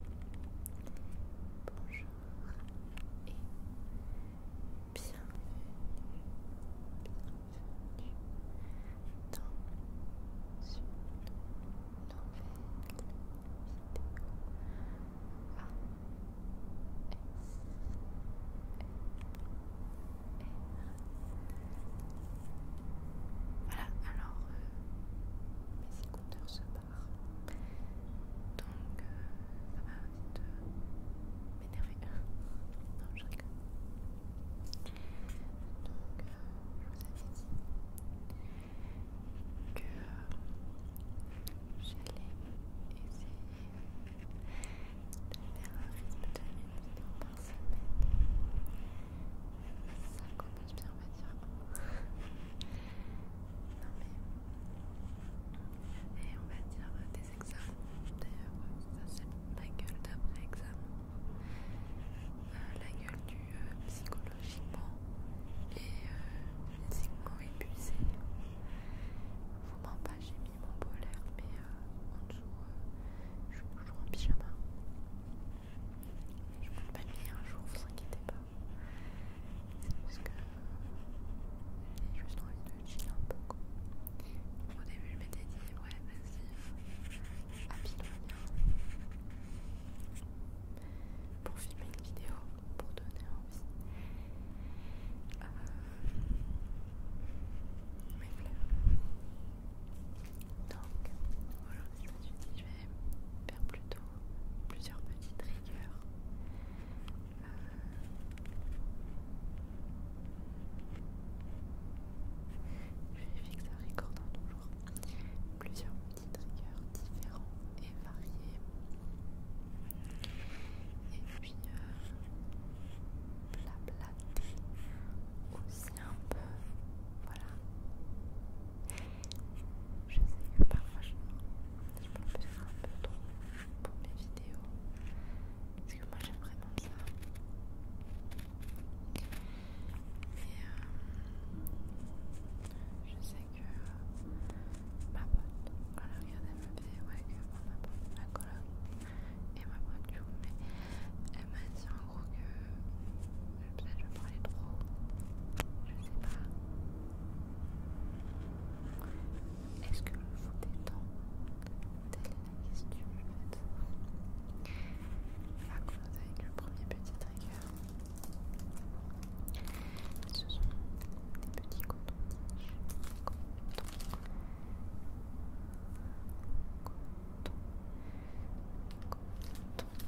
Bonjour et bienvenue, bienvenue dans une nouvelle vidéo ASMR. Voilà, alors euh, mes écouteurs se battent. Donc euh, ça va vite m'énerver. dans je rigole. Donc euh, je vous avais dit que euh, j'allais essayer de faire un rythme de 10 minutes par semaine ça commence bien, on va dire. non, mais. Et on va dire des examens. D'ailleurs, ça c'est ma gueule d'après-examen. la gueule du psychologiquement et physiquement épuisé. Vous m'en pas, j'ai mis mon polaire, mais euh, en dessous, euh, je suis toujours en pyjama. Je vous pas palmier un jour, vous inquiétez pas. C'est parce que suis juste train de chiller un peu. Au début, je m'étais dit, ouais, vas-y, à pour filmer une vidéo, pour donner envie. Euh, mais voilà. Donc, aujourd'hui, je me suis dit, je vais faire plutôt plusieurs petits triggers. Euh, je vérifie que ça recordant toujours. Plusieurs petits triggers différents et variés. Et puis euh, la aussi un peu. Voilà. Je sais que parfois je, je peux me faire un peu trop pour mes vidéos. Parce que moi j'aime vraiment ça. Mais euh, je sais que ma pote, voilà elle me ma vidéo avec que ma pote, ma colonne. et ma pote du coup, mais elle m'a dit en gros que Peut-être je vais parlais trop. Je sais pas. Est-ce que je vous détends Telle est la question en fait. On vous commencer avec le premier petit trigger. Ce sont des petits cotons. Coton.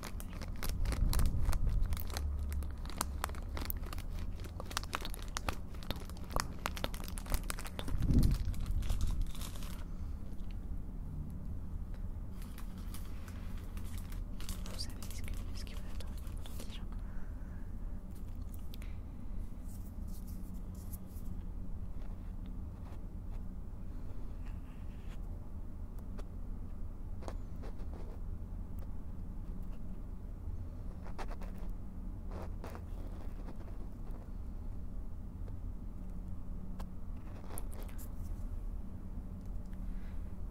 Vous savez ce, que, ce qui vous attend déjà. Voilà.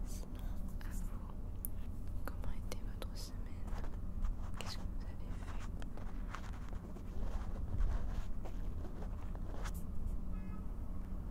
Sinon, à vous, comment était votre semaine Qu'est-ce que vous avez fait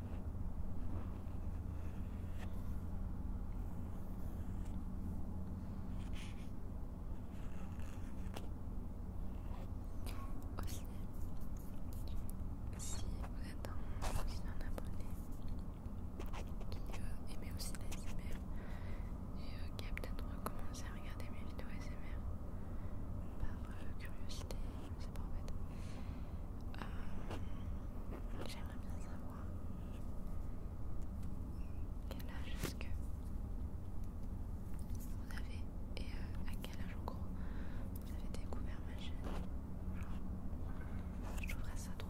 Aussi, si vous êtes un, abonné qui euh, aime aussi les SMR et euh, qui a peut-être recommencé à regarder mes vidéos SMR par euh, curiosité euh, j'aimerais bien savoir quel âge est-ce que vous avez et euh, à quel âge en gros vous avez découvert ma chaîne. je trouverais ça drôle.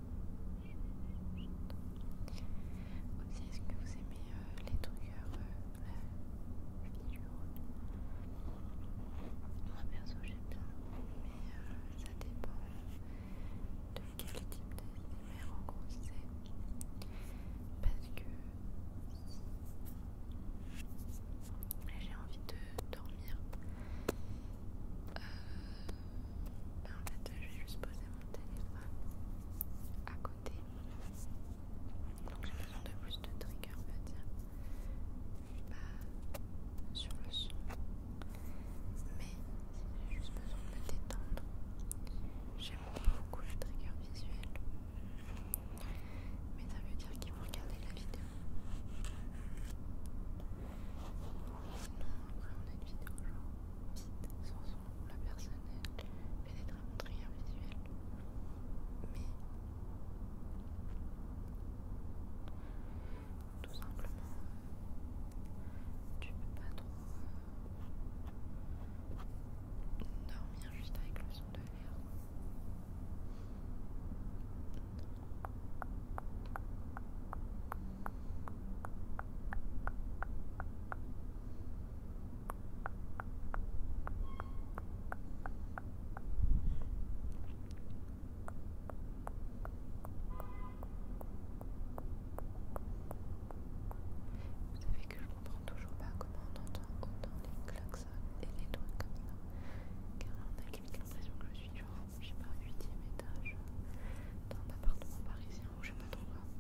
Aussi, est-ce que vous aimez euh, les trucs heureux, Moi perso j'aime bien, mais euh, ça dépend de quel type mère en gros c'est. Parce que j'ai envie de dormir. Euh, ben, en fait, je vais juste poser à côté. Donc j'ai besoin de plus de trigger, on va dire. Pas sur le son. Mais j'ai juste besoin de me détendre. J'aime beaucoup le trigger visuel. Mais ça veut dire qu'ils vont regarder la vidéo. Non, on a une vidéo genre vite, sans son, la personne elle pénètre à très visuel. Mais tout simplement, tu peux pas trop dormir juste avec le son de l'air. Vous savez que je comprends toujours pas comment on entend autant les klaxons et les doigts comme ça. Car là on a l'impression que je suis genre, je sais pas, 8ème étage dans un appartement parisien où je trop quoi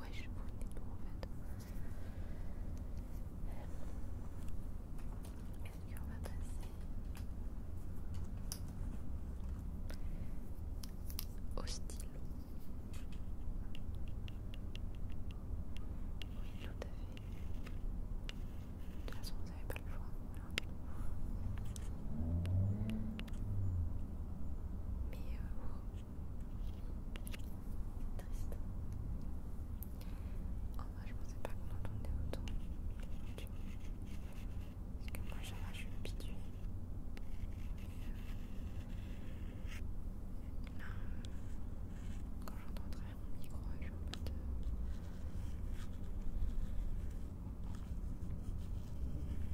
Ouais, je vous pour tout en fait. Est-ce qu'on va passer au stylo Oui, tout à fait. De toute façon, vous n'avez pas le choix. Mais euh, Triste. Oh vrai, bah, je pensais pas qu'on entendait autant. Parce que moi, j'en je suis habituée. Mais, quand j'entends derrière mon micro, je suis en mode. Euh,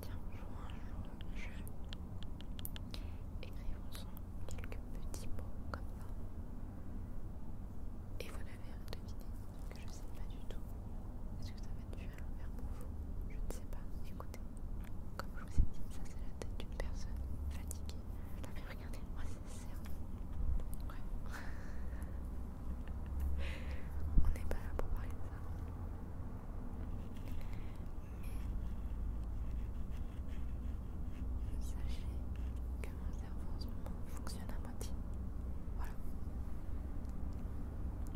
Tiens, vois un jeu. Écrivons-en quelques petits mots comme ça. Et vous à deviner que je ne sais pas du tout. Est-ce que ça va être du à l'envers pour vous Je ne sais pas. Écoutez, comme je vous ai dit, ça c'est la tête d'une personne fatiguée. mais regardez, moi c'est cerveau. Ouais. On n'est pas là pour parler de ça. Sachez que mon cerveau en ce moment fonctionne à moitié. Voilà.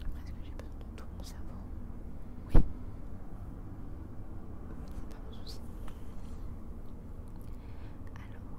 Après est-ce que j'ai besoin de tout mon cerveau Oui. C'est pas mon souci. Alors.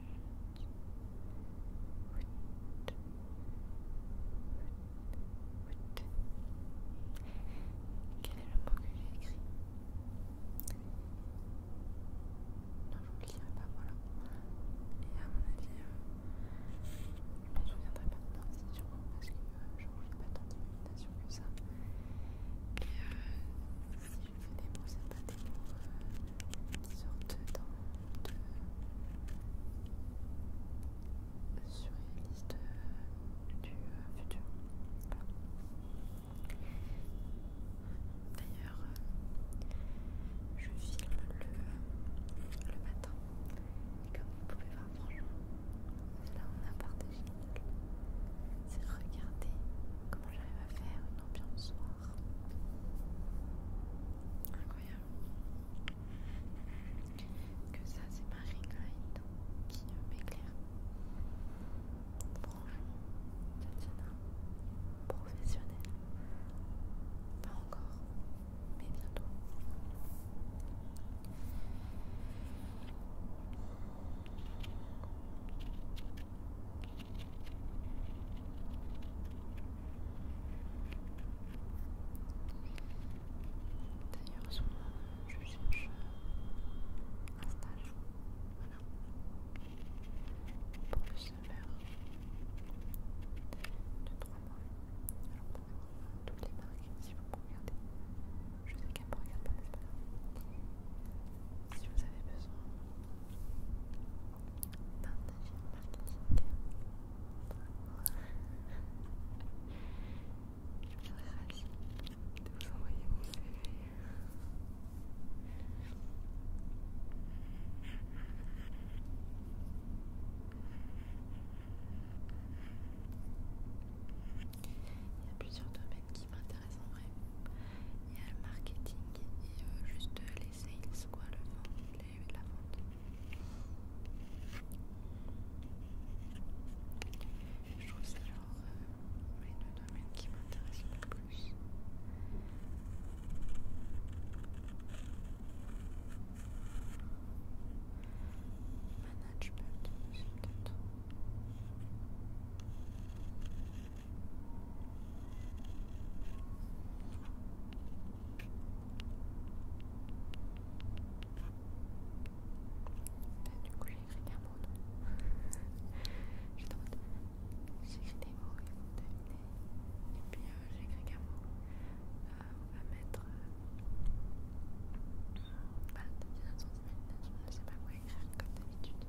Quel est le mot que j'ai écrit Non, je ne le dirai pas, voilà. Et à mon avis, je ne me souviendrai pas. de c'est parce que je ne pas tant d'imagination que ça. Et euh, c'est des mots, c'est pas des mots qui sortent dans sur les listes du futur. D'ailleurs, je filme le, matin et comme vous pouvez voir, franchement, là on a partagé. C'est regarder j'arrive à faire une ambiance soir. Incroyable. Que ça, c'est ma ring qui m'éclaire. Franchement, Tatiana, professionnel. Pas encore, mais bientôt. D'ailleurs, souvent, je cherche un stage. Voilà. Pour le summer de trois mois. Alors peut voir toutes les marques, si vous pouvez regardez. Je sais qu'elle me regarde pas, mais c'est pas si vous avez besoin d'un je serais de vous envoyer mon CV. Il y a plusieurs domaines qui m'intéressent. Il y a le marketing et euh, juste les sales, quoi, le vent, la vente. Je trouve ça genre euh, les deux domaines qui m'intéressent le plus. Management, du coup j'ai écrit qu'un mot J'étais en mode j'écris des mots, et vous vont deviner. Et puis j'ai écrit qu'un mot. on va mettre euh, bah, 19 ans d'imagination, je ne sais pas quoi écrire comme d'habitude.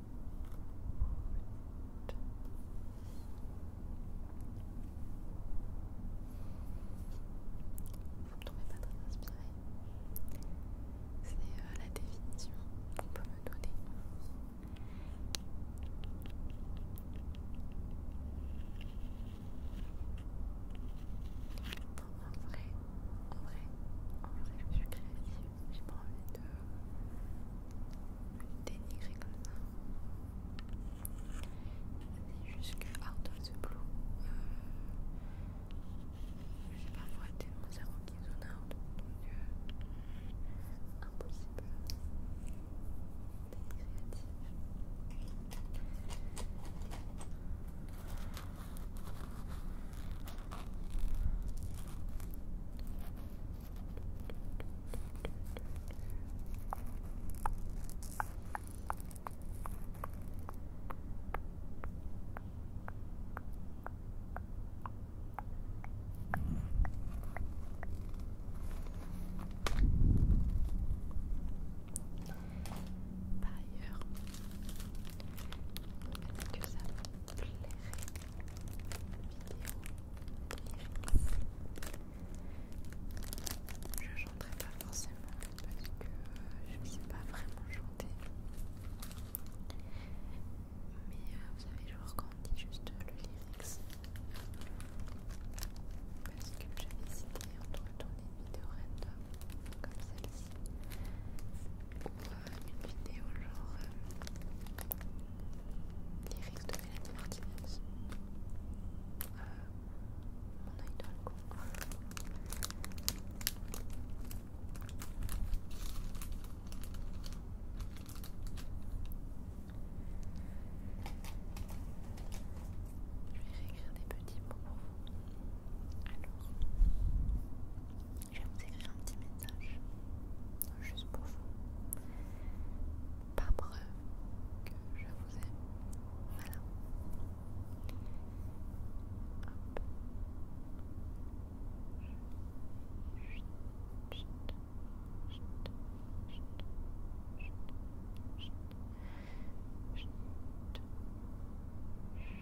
Vous ne tombez pas très inspiré C'est euh, la définition qu'on peut me donner. en vrai, en vrai, en vrai, je suis créative j'ai pas envie de le dénigrer comme ça. C'est juste que out of the blue, euh, j'ai parfois tellement cerveau qui zone out, donc dieu, impossible d'être créatif. Par ailleurs, que ça je chanterai pas forcément parce que je ne sais pas vraiment chanter. Mais euh, vous savez, je quand juste le lyrics, parce que j'avais cité entre tourner des vidéos random comme celle-ci, pour une vidéo genre euh, lyrics de Mélanie Martinez. Euh, mon oeil dans le con. Je vais réécrire des petits mots pour vous. Alors, je vais vous écrire un petit message juste pour vous, par preuve que je vous aime.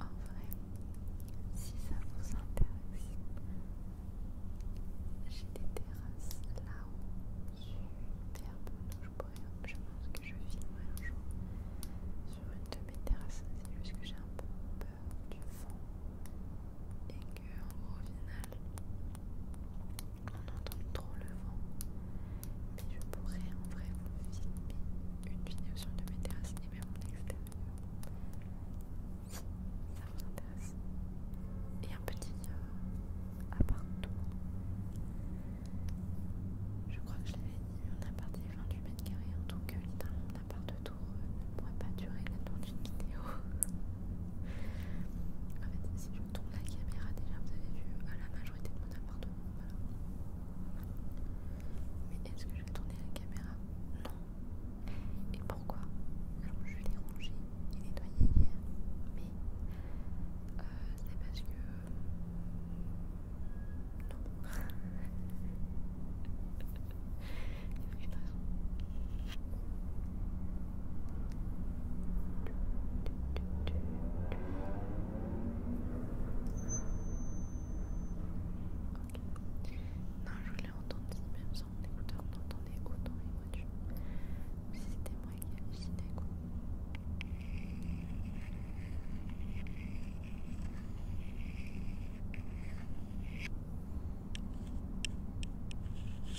En vrai, si ça vous intéresse, j'ai des terrasses là-haut, super bonnes. Je, pourrais, je pense que je filmerai un jour sur une de mes terrasses. C'est juste que j'ai un peu peur du fond. et que, en gros, au final, on entend trop le vent. Mais je pourrais en vrai vous filmer une vidéo sur le mes terrasses et même en extérieur. Ça vous intéresse. Et un petit appart euh, appartement. Je crois que je l'avais dit, on a parti 28 mètres carrés donc tout littéralement mon appart de tour euh, ne pourrait pas durer le temps d'une vidéo. En fait, si je tourne la caméra, déjà vous avez vu à la majorité de mon appartement. Voilà. Mais est-ce que je vais tourner la caméra Non. Et pourquoi Alors, je l'ai rangé et nettoyé hier, mais c'est parce que. Non. Il y a raison. Non, je l'ai entendu, même sans mon écouteur on entendait autant les voitures. Comme si c'était moi qui aussi quoi. Voilà.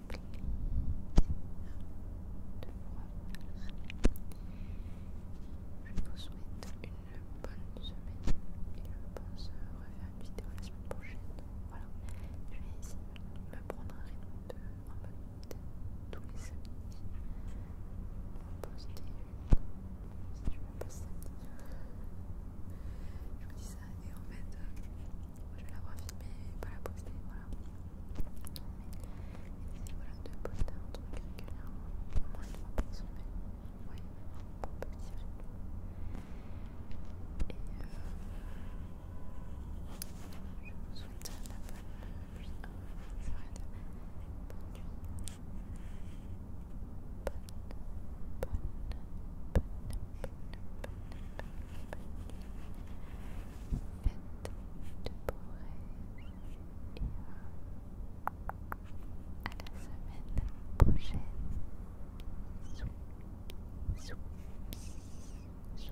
Je vous souhaite une bonne semaine et je pense refaire une vidéo la semaine prochaine. Voilà, je vais essayer de me prendre un rythme de, en mode tous les samedis. Poster une, si je me poster. samedi. Je vous dis ça et en fait, je vais l'avoir filmé et pas la poster, voilà. voilà deux poster un truc régulièrement, moins une fois ouais, pour petit Et euh, je vous la bonne, bonne, bonne, bonne, bonne, bonne, bonne à la semaine prochaine. Sous, sous, sous,